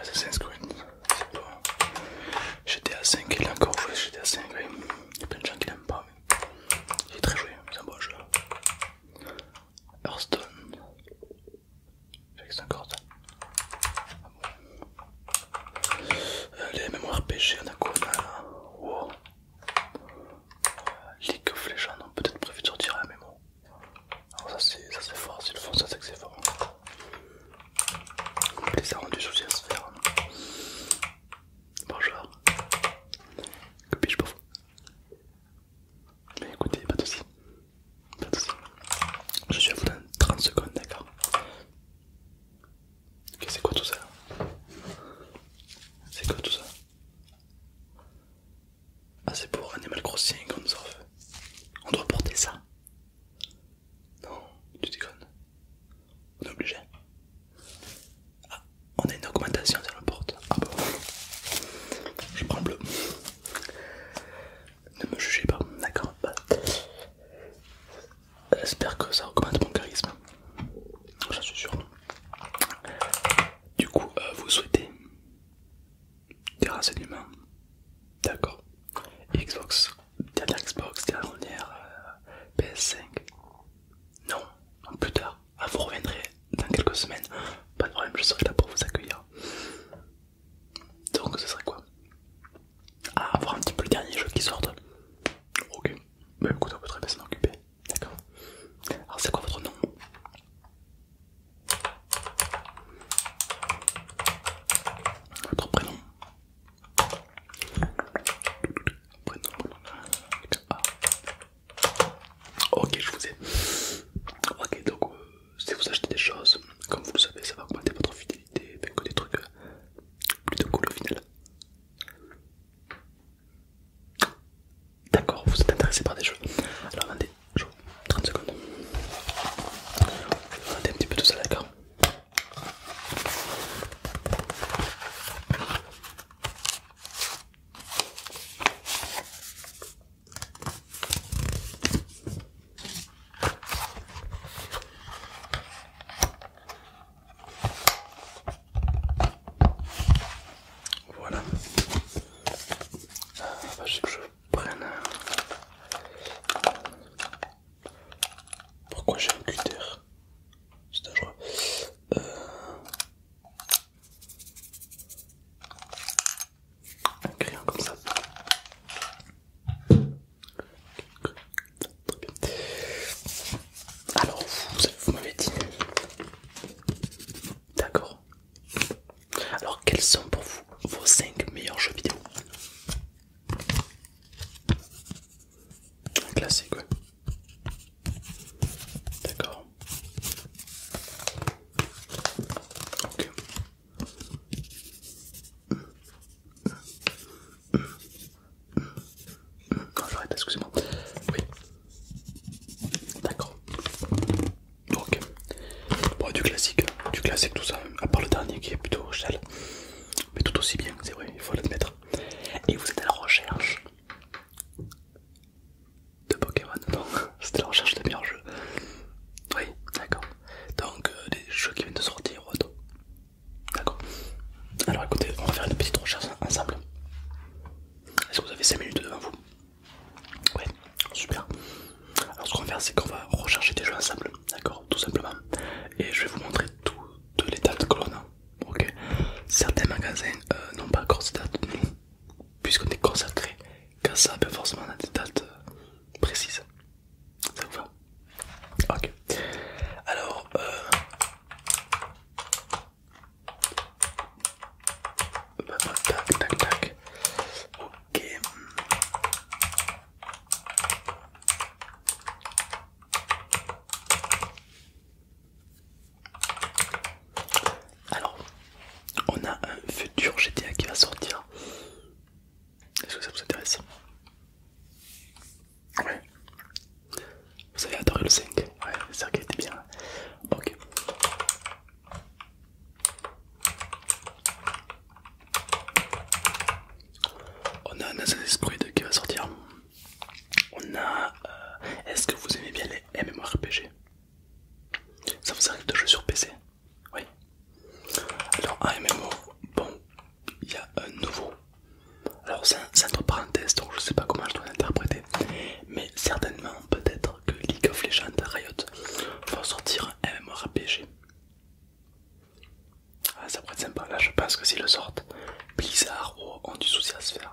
Assassin's Creed, c'est pas... GTA 5, il a encore joué GTA 5, oui. Il y a plein de gens qui l'aiment pas, mais il est très joué, c'est un bon jeu. Hearthstone, avec 50. Ah bon. euh, les MMORPG, on a quoi là wow. Euh, League of Legends, on peut peut-être prévu de sortir la mémoire alors ça c'est fort, c'est le fond, ça c'est que c'est fort. les a du soucis à se faire. Hein. Bonjour. Que puis-je pour vous Mais écoutez, pas de soucis. Pas de soucis. Je suis à vous dans 30 secondes, d'accord Ok, c'est quoi tout ça C'est quoi tout ça ah c'est pour un Animal Crossing, comme ça On doit porter ça Non, tu déconnes. On est obligé. Ah, on a une augmentation de la porte. Ah bon bah Je prends le bleu. Ne me jugez pas, d'accord bah, J'espère que ça augmente mon charisme. J'en suis sûr. Du coup, euh, vous souhaitez des renseignements. D'accord. Xbox. Dernière Xbox, dernière euh, PS5. Non, plus tard. Ah, vous reviendrez dans quelques semaines. Pas de problème, je serai là pour vous accueillir. Donc, ce serait quoi Ah, avoir un petit peu le dernier jeu qui sort Ok. Bah écoute, on peut très bien s'en occuper. D'accord. Alors c'est quoi votre nom Votre prénom Prénom Ok, je vous ai. Ok, donc euh, si vous achetez des choses, comme vous le savez, ça va augmenter votre fidélité, que des trucs euh, plutôt cool au final. D'accord, vous êtes intéressé par des jeux. Alors attendez, 30 secondes. Attendez un petit peu tout ça, d'accord voilà. Ah, bah, je sais que je prenne un... Pourquoi j'ai un cutter C'est dangereux. Euh... Un crayon comme ça. Alors, vous m'avez dit D'accord. Alors, quels sont pour vous vos 5 meilleurs jeux vidéo Un classique, ouais. D'accord. Ok. Non, j'arrête, excusez-moi. Oui, D'accord. Donc, bon, du classique, du classique tout ça, à part le dernier qui est plutôt chel mais tout aussi bien, c'est vrai, il faut l'admettre. Et vous êtes à la recherche de Pokémon, non C'était la recherche de meilleurs jeux. Oui, d'accord. Donc, euh, des jeux qui viennent de sortir ou D'accord. Alors écoutez, on va faire une petite recherche ensemble. Hein, est-ce que vous avez 5 minutes devant vous Ouais, super. Alors ce qu'on va faire, c'est qu'on va rechercher des jeux ensemble, d'accord Tout simplement. Et je vais vous montrer toutes les dates que l'on a. Ok Certains magasins euh, n'ont pas encore ces dates, puisqu'on est consacré qu'à ça, peut forcément on des dates euh, précises. Ça vous va Ok. Alors, euh, tac, tac, tac. Alors, on a un futur GTA qui va sortir. Est-ce que ça vous intéresse Oui. Vous avez adoré le 5 Ouais, c'est ça qui était bien. Ok. On a un Assassin's qui va sortir. On a. Euh, est-ce que vous aimez bien les MMORPG Ça vous arrive de jouer sur PC Oui. Alors, AMMO, bon, il y a un nouveau alors c'est entre parenthèses, donc je sais pas comment je dois l'interpréter, mais certainement peut-être que League of Legends Riot va sortir un MMORPG. Ah, ça pourrait être sympa, là je pense que s'ils le sortent, Blizzard ont du souci à se faire.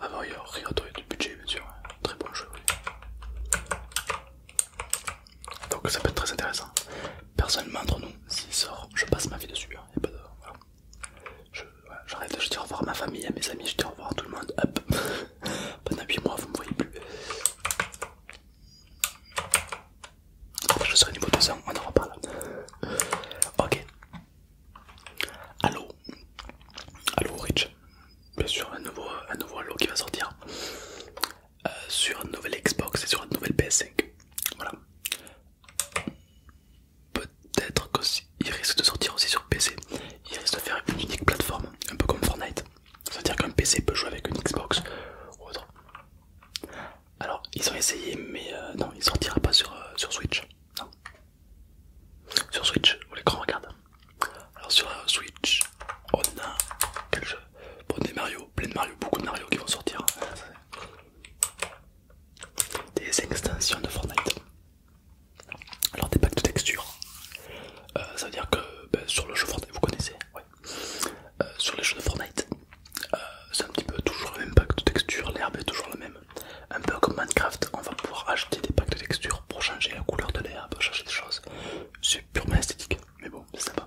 Avant, il y a Riot, du budget bien sûr, hein. très bon jeu. Donc ça peut être très intéressant. Personnellement entre nous, s'il sort, je passe ma vie dessus. Et hein. pas de... J'arrête, je, dis au revoir à ma famille, à mes amis, je dis au revoir à tout le monde. Hop, pendant 8 mois, vous me voyez plus. Après, je serai niveau 200, on en reparle. Ok. Allo, allo Rich. Bien sûr, un nouveau, un nouveau Allo qui va sortir euh, sur une nouvelle Xbox et sur une nouvelle PS5. Voilà peut-être qu'il risque de sortir aussi sur PC. Il risque de faire une unique plateforme, un peu comme Fortnite. C'est-à-dire qu'un PC peut jouer avec une Xbox ou autre. Alors, ils ont essayé, mais euh, non, il sortira pas sur, euh, sur Switch. Non. Sur Switch, où l'écran regarde. Alors, sur euh, Switch, on a quel Mario, plein de Mario, beaucoup de Mario qui vont sortir des extensions de Fortnite. Alors des packs de textures. Euh, ça veut dire que ben, sur le jeu Fortnite, vous connaissez, euh, sur les jeu de Fortnite, euh, c'est un petit peu toujours le même pack de textures, l'herbe est toujours la même. Un peu comme Minecraft, on va pouvoir ajouter des packs de textures pour changer la couleur de l'herbe, changer des choses. C'est purement esthétique, mais bon, c'est sympa.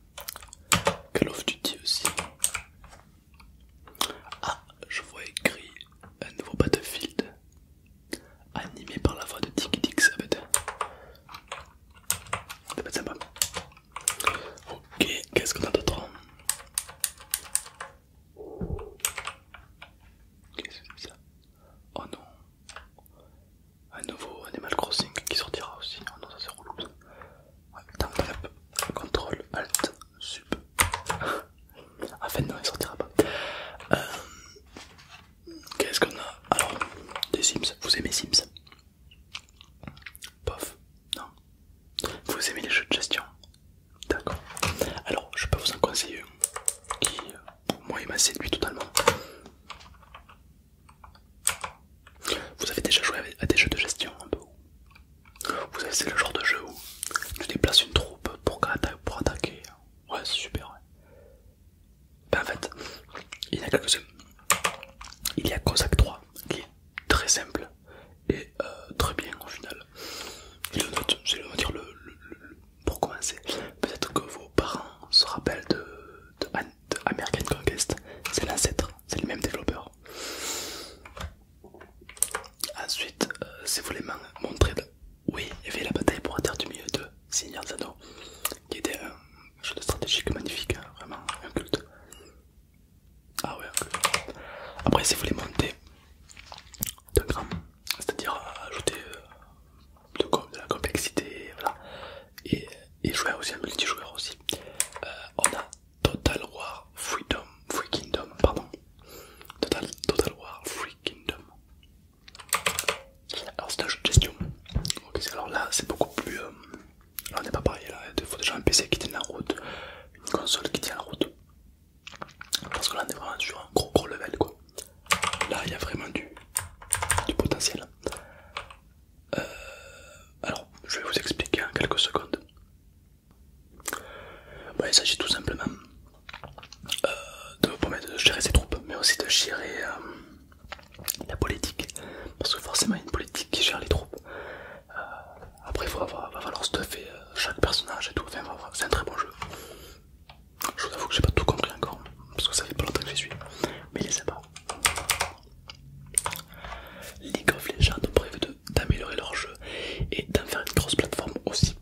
Call of Duty aussi. Ah, je vois écrit un nouveau Battlefield animé par la voix de Dick Dick, ça va être. Ça va être sympa. Ok, qu'est-ce qu'on a d'autre Qu'est-ce que c'est ça Oh non Un nouveau Animal Crossing qui sortira aussi. Oh non, ça c'est relou ça temps contrôle, alt, sub. en ah, fait, non, il sortira pas. Euh, qu'est-ce qu'on a Alors, des Sims, vous aimez Sims Pof, non. Vous aimez les jeux de gestion D'accord. Alors, je peux vous en conseiller qui, moi, il m'a séduit totalement. Vous avez déjà joué à des jeux de gestion un peu Vous avez c'est le genre de jeu où tu déplaces une troupe pour, pour attaquer. Ouais, c'est super. Ben, en fait, il y a quelques-uns. Il y a Cossack 3 qui est très simple et euh, très bien au final. dire le, pour commencer. Peut-être que vos parents se rappellent de, de American Conquest, c'est l'ancêtre, c'est le même développeur. Ensuite, euh, si vous voulez montrer, oui, il y la bataille pour atteindre du milieu de Seigneur Zano, qui était un jeu de stratégique magnifique, hein, vraiment un culte. Ah ouais, un Après, si vous voulez monter de grand, c'est-à-dire ajouter euh, de, de la complexité, voilà, et, et jouer aussi un multijoueur aussi. Euh, on a Total War Freedom, Free Kingdom, pardon. Total, Total War Free Kingdom. Alors c'est un jeu de gestion. alors là c'est beaucoup plus... Euh, on n'est pas pareil, là. il faut déjà un PC qui tient la route, une console qui tient la route. Parce que là on est vraiment sur un gros gros level quoi. Là il y a vraiment du potentiel. Euh, alors, je vais vous expliquer en quelques secondes. Bah, il s'agit tout simplement euh, de vous de gérer ses troupes, mais aussi de gérer euh, la politique. Parce que forcément, il y a une politique qui gère les troupes. après, il va, falloir stuffer chaque personnage et tout. c'est un très bon jeu. Je vous avoue que j'ai pas tout compris encore, parce que ça fait pas longtemps que j'y suis. Mais il est sympa. League of Legends ont de d'améliorer leur jeu et d'en faire une grosse plateforme aussi.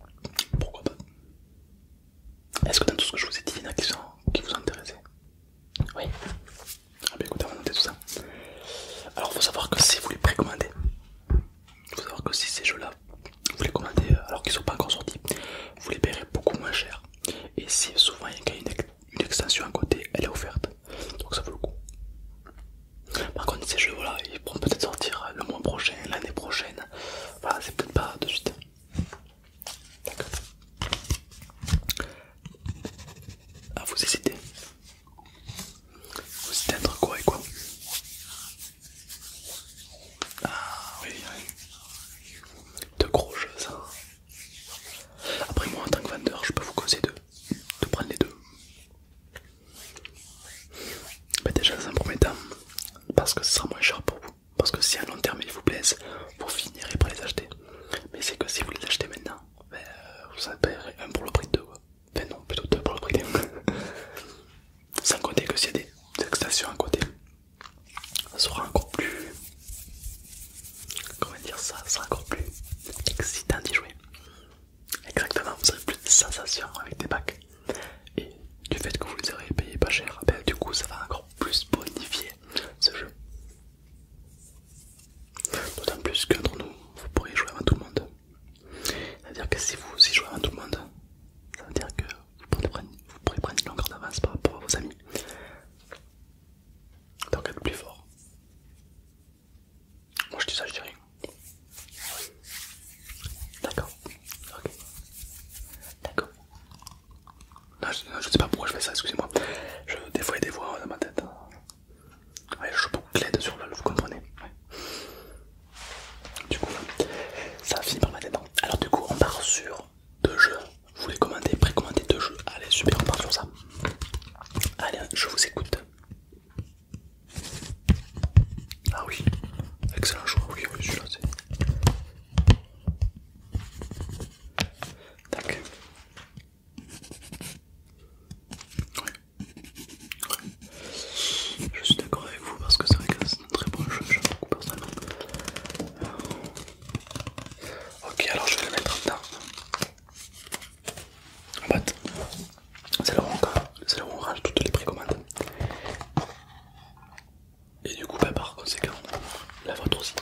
Pourquoi pas Est-ce que dans tout ce que je vous ai dit, il y a qui vous intéressait Oui Ah bah écoutez, on va tout ça. Alors faut savoir que si vous les précommandez, faut savoir que si ces jeux-là, vous les commandez euh, alors qu'ils sont pas encore sortis, vous les paierez beaucoup moins cher. Et si souvent il y a une une extension à côté, elle est offerte. Donc ça vaut le coup. Par contre ces jeux voilà, ils pourront peut-être sortir le mois prochain, l'année prochaine. Voilà, c'est peut-être pas de suite. D'accord. Ah vous hésitez. Vous hésitez entre quoi et quoi Ah oui, oui. De gros jeux ça. Après moi en tant que vendeur je peux vous causer de, de prendre les deux. Mais déjà dans un premier temps, parce que ce sera moins cher pour vous. Parce que si à long terme ils vous plaisent, vous finirez par les acheter. Mais c'est que si vous les achetez maintenant, ben, vous en paierez un pour le prix de deux. Enfin non, plutôt deux pour le prix d'un. Sans compter que s'il y a des extensions à côté, ça sera encore plus comment dire ça, ça sera encore plus excitant d'y jouer exactement vous aurez plus de sensations avec des bacs et du fait que vous les aurez payés pas cher ben, du coup ça va encore plus bonifier ce jeu d'autant plus qu'entre nous vous pourrez jouer avant tout le monde c'est à dire que si vous y jouez avant tout le monde ça veut dire que vous pourrez prendre une longueur d'avance par rapport à vos amis T'en être plus fort. Moi je dis ça, je dis rien. D'accord. Ok. D'accord. Non, je je sais pas pourquoi je fais ça, excusez-moi. Je, des fois, des voix dans ma tête. Hein. Ouais, je boucle sur là, vous comprenez. Du coup, ça finit par ma tête. Hein. Alors, du coup, on part sur deux jeux. Vous les commandez, précommandez deux jeux. Allez, super, on part sur ça. Allez, je vous écoute. Ah oui, excellent choix. Oui, oui, celui-là, c'est. Tac. Ouais. Je suis d'accord avec vous parce que c'est vrai que c'est un très bon jeu, j'aime beaucoup personnellement. Ok, alors je vais le mettre dans ma boîte, c'est là, où on range toutes les précommandes. Et du coup, bah, par conséquent, la vôtre aussi.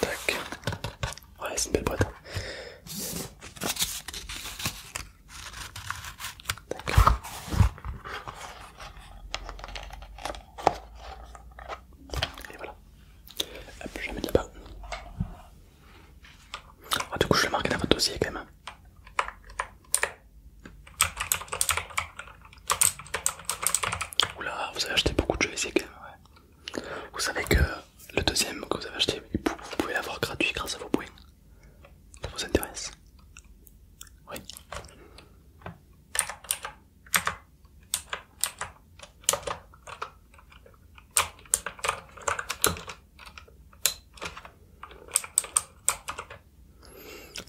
Tac. Ouais, c'est une belle boîte. Et voilà. je mets là-bas. Ah, du coup, je vais marquer dans votre dossier quand même. Hein. Oula, vous avez acheté beaucoup de jeux ici quand même. Vous savez que le deuxième que vous avez acheté, vous pouvez l'avoir gratuit grâce à vos points. Ça vous intéresse Oui.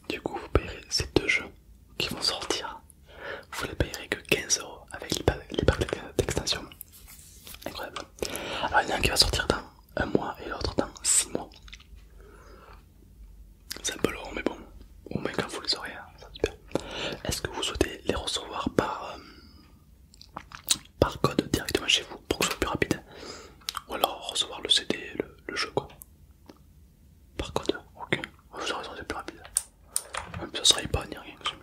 Du coup, vous payerez ces deux jeux qui vont sortir. Vous les payerez que 15€ avec les packs d'extension. Incroyable. Alors, il y en a un qui va sortir dans un mois et l'autre dans six mois. C'est un peu mais bon, au moins quand vous les aurez, hein, Est-ce que vous souhaitez les recevoir par, euh, par code directement chez vous pour que ce soit plus rapide Ou alors recevoir le CD, le, jeu quoi Par code, ok, vous aurez raison, c'est plus rapide. Même ça serait pas ni rien que ce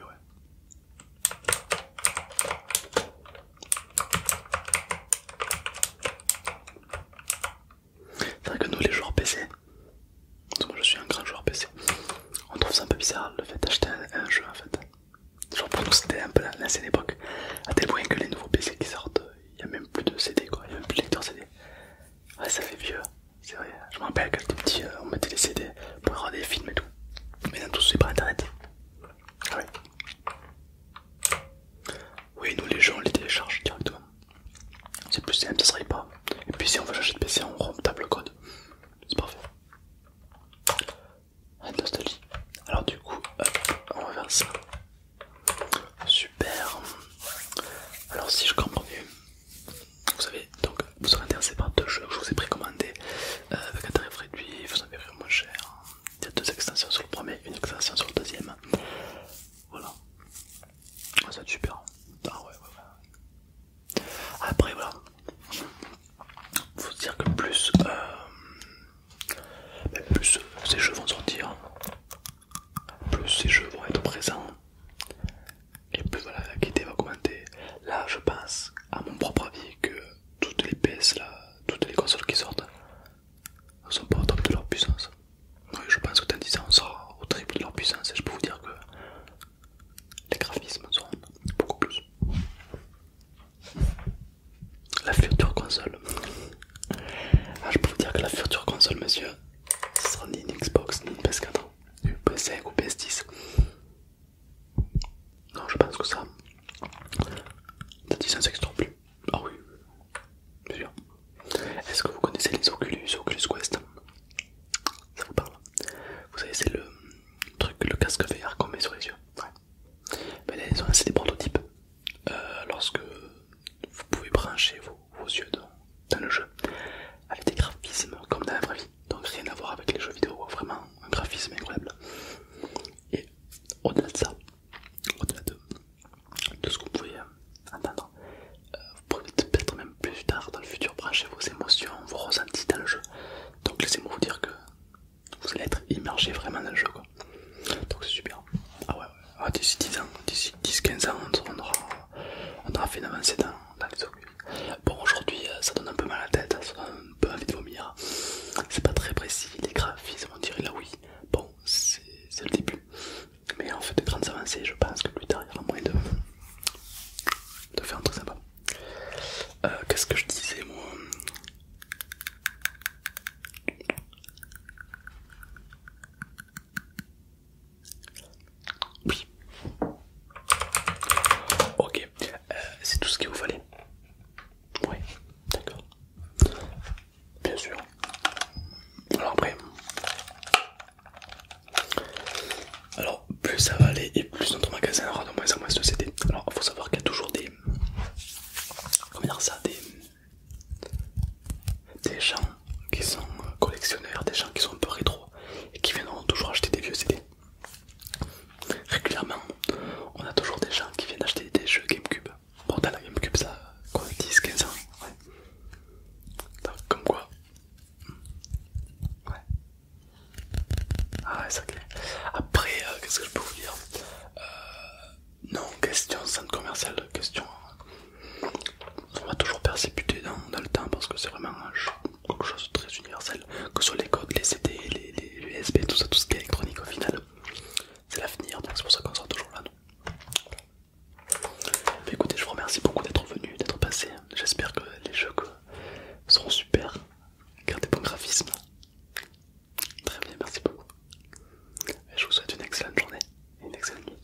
c'est vrai que nous les joueurs PC, moi je suis un grand joueur PC, on trouve ça un peu bizarre le fait d'acheter un, jeu en fait. Genre pour nous c'était un peu l'ancienne époque, à tel point que les nouveaux PC qui sortent, il n'y a même plus de CD quoi, il n'y a même plus de lecteur CD. Ouais ça fait vieux, c'est vrai, je me rappelle quand j'étais petit euh, on mettait des CD pour regarder des films et tout. Mais non tout c'est par internet. Ouais. Oui, nous les gens, on les télécharge directement. C'est plus simple, ça serait pas. Et puis si on veut changer de PC, on rompt le code. C'est parfait. Ah, Alors du coup, on va faire ça. Super. Alors si je comprends bien, vous savez, donc vous serez intéressé par deux jeux que je vous ai précommandé euh, avec un tarif réduit, vous en verrez moins cher. Il y a deux extensions sur le premier, une extension sur le deuxième. Voilà. Ah, ça va super. Ah ouais, Après, voilà. Faut se dire que plus, euh, bah, plus ces jeux vont sortir, plus ces jeux vont être présents, et plus voilà, la qualité va augmenter Là, je pense, à mon propre avis, que toutes les PS là, toutes les consoles qui sortent ne sont pas au top de leur puissance. Oui, je pense que dans 10 ans, on sera au triple de leur puissance et je peux vous dire que les graphismes seront beaucoup plus. La future console. Ah, je peux vous dire que la future console, monsieur, ce sera ni une Xbox, ni une PS4, ni une PS5 ou PS10. Non, je pense que ça, dans 10 ans, ça sera plus. Ah oui, bien sûr. Est-ce que vous connaissez les Oculus, Oculus Quest Ça vous parle Vous savez, c'est le truc, le casque VR qu'on met sur les yeux. Ouais. Ben là, c'est des prototypes. Euh, lorsque vous pouvez brancher vos, yeux dans le jeu, avec des graphismes comme dans la vraie vie, donc rien à voir avec les jeux vidéo, vraiment un graphisme incroyable. Et au-delà de ça, au-delà de de ce que vous pouvez euh, entendre. Euh, vous pourrez peut-être même plus tard dans le futur brancher vos émotions, vos ressentis dans le jeu. Donc laissez-moi vous dire que vous allez être immergé vraiment dans le jeu. Donc c'est super. Ah ouais, ah, d'ici 10 ans, 10-15 ans, on aura, on aura fait une avancée dans, les Bon, aujourd'hui euh, ça donne un peu mal à la tête, hein, ça donne un peu envie de vomir. C'est pas très précis, les graphismes, on dirait là oui c'est le début. Mais en fait de grandes avancées, je pense que plus tard il moins de, de faire un truc sympa. Euh, qu'est-ce que je disais moi Oui. Ok, euh, c'est tout ce qu'il vous fallait. Ouais, d'accord bien sûr. Alors après, alors plus ça va aller et plus notre magasin aura de moins en moins de CD. Alors il faut savoir qu'il y a toujours des, comment dire ça, des, des gens qui sont euh, collectionneurs, des gens qui sont un peu rétro et qui viendront toujours acheter des vieux CD. Régulièrement, on a toujours des gens qui viennent acheter des jeux GameCube, Bon, t'as la Gamecube, ça, quoi, 10, 15 ans, ouais. Donc, comme quoi, ouais. Ah, ouais, ça Après, euh, qu'est-ce que je peux vous dire euh, Non, question centre commercial, question. On va toujours persécuter dans, le temps parce que c'est vraiment quelque chose de très universel, que ce soit les codes, les CD, les, les USB, tout ça, tout ce qui est électronique au final c'est l'avenir, donc c'est pour ça qu'on sera toujours là. écoutez, je vous remercie beaucoup d'être venu, d'être passé. J'espère que les jeux seront super. Gardez bon graphisme. Très bien, merci beaucoup. je vous souhaite une excellente journée et une excellente nuit.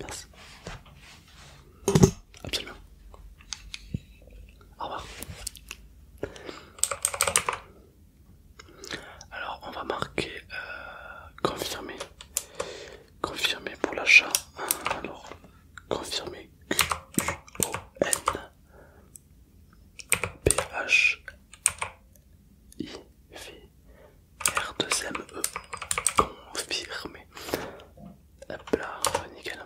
Merci. Absolument. Au revoir. Alors on va marquer euh, confirmé, confirmé pour l'achat. Alors confirmé q o n p h P-H-I-V-R-2-M-E. confirmé, Hop là, nickel.